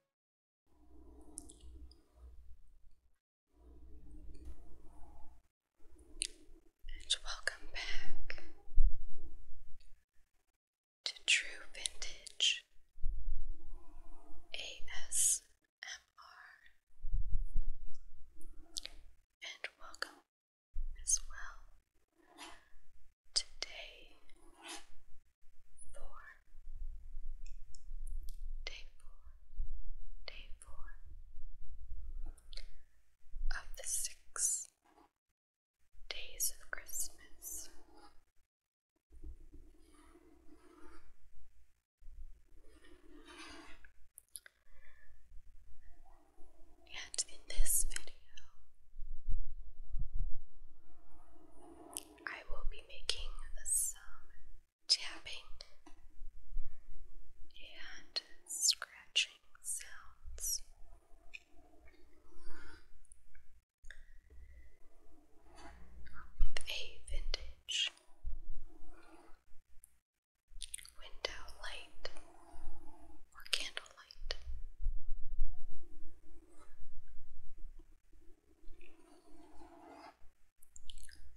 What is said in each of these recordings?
And welcome back to True Vintage ASMR. And welcome as well today four day four day four of the six days of Christmas. And in this video, I will be making some tapping and scratching sounds. With a vintage window light or candle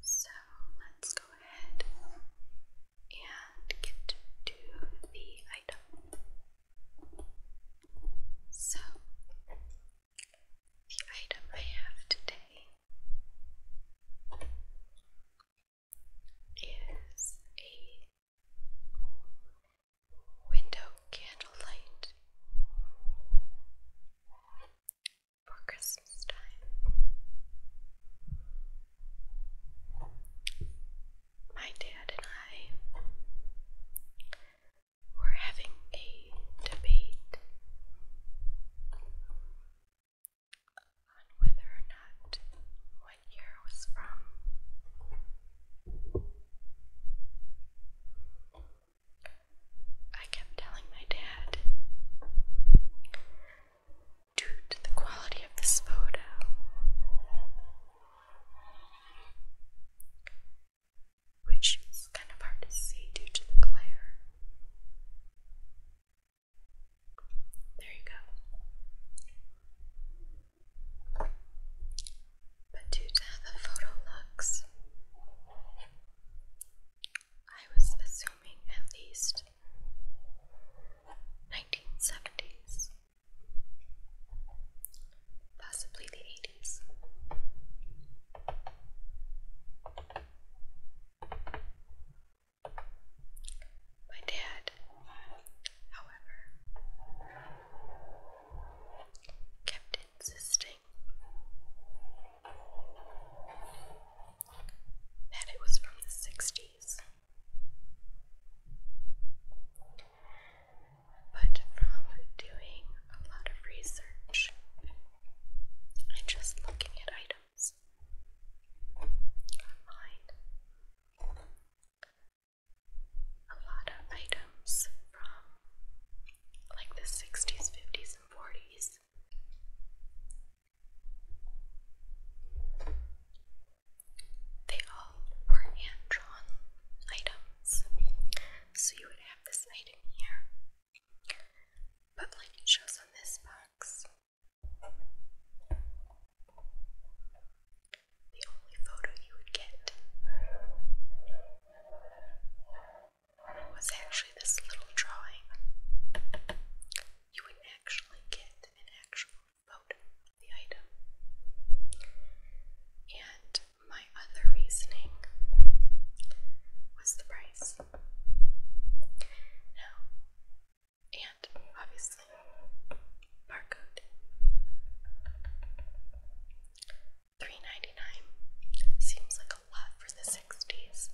so let's go ahead and get to the item. So, the item I have today is a window candlelight for Christmas time. My dad and I were having a debate on whether or not what year was from. I kept telling my dad, due to the quality of this photo, which is kind of hard to see due to the glare. There you go. But due to the photo lux, I was assuming at least 1970s, possibly the 80s. My dad, however, kept insisting that it was from the 60s. But from doing a lot of research and just looking at items online, a lot of items from like the 60s, 50s, and 40s. They all were hand items. So you would have this item here. But like it shows on this box, the only photo you would get was actually this little drawing. You would actually get an actual photo of the item. And my other reasoning was the price. Now, and obviously, barcode. Three ninety nine seems like a lot for the sixties.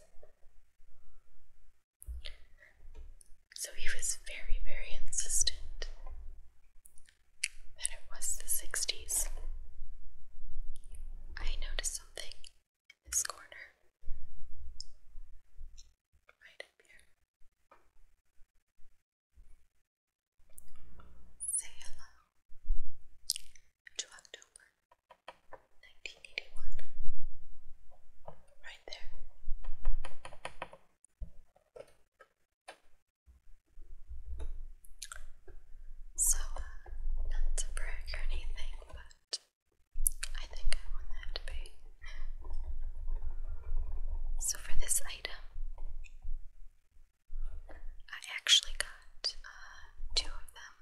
So he was very, very insistent that it was the 60s. I noticed something in this corner. Right up here. Say hello to October 1981. Right there. So, uh, not to brag or anything, but I think I won that debate. So, for this item, I actually got uh, two of them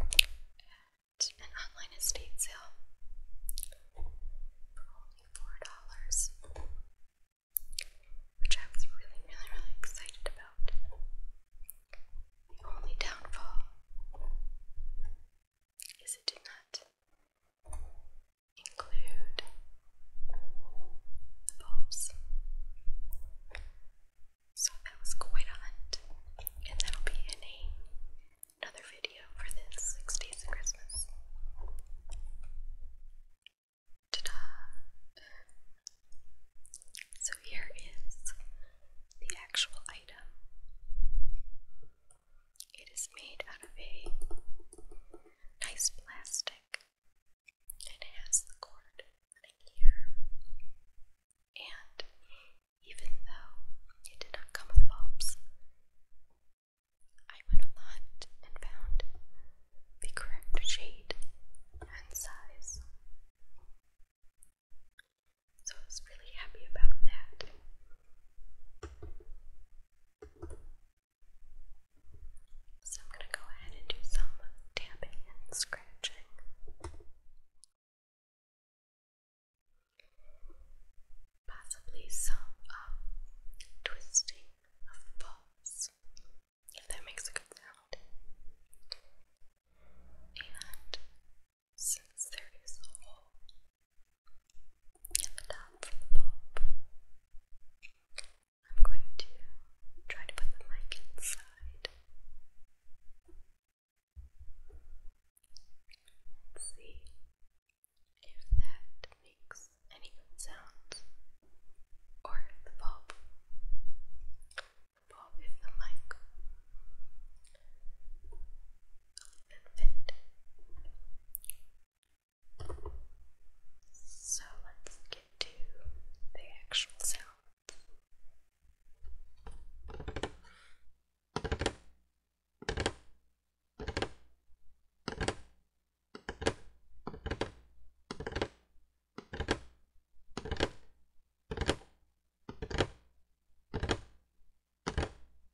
at an online estate sale for only four dollars, which I was really, really, really excited about. The only downfall is it did not include the bulbs. So that was quite a hunt, and that'll be in a, another video for this six Christmas. Ta-da! So here is the actual item. It is made out of a nice plastic. It has the cord running here. And even though it did not come with bulbs, I went on the and found the correct shade and size. So I was really happy about that. So I'm going to go ahead and do some tapping and scratching. Possibly some um, twisting of the if that makes a good sound. And since there is a hole and the top from the bulb. I'm going to try to put the mic inside. see if that makes any good sounds. Or the bulb. The bulb is the mic. And fit. So let's get to the actual sound.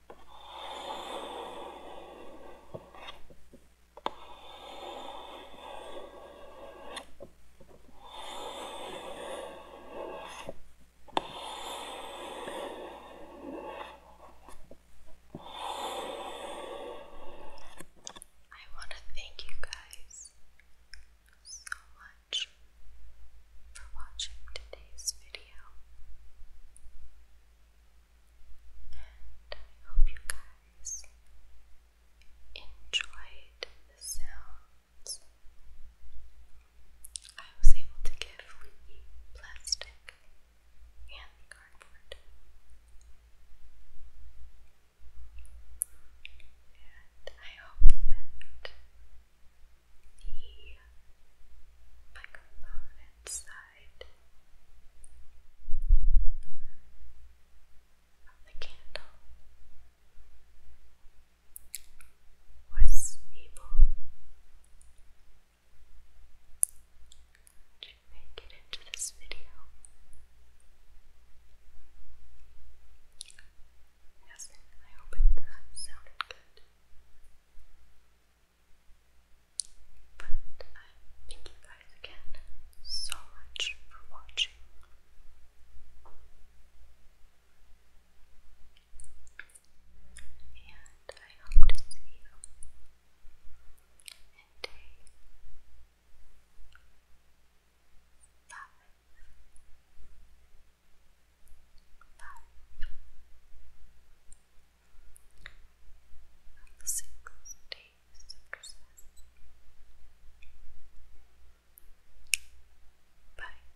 I want to thank you guys so much for watching today's video. And I hope you guys enjoyed the sounds. I was able to give the plastic and cardboard. And I hope that the microphone inside of the candle was able to make it into this video. Yes, I hope it sounded good. But I thank you guys again so much for watching. And I hope to see you in day five. On the six days Christmas. Bye.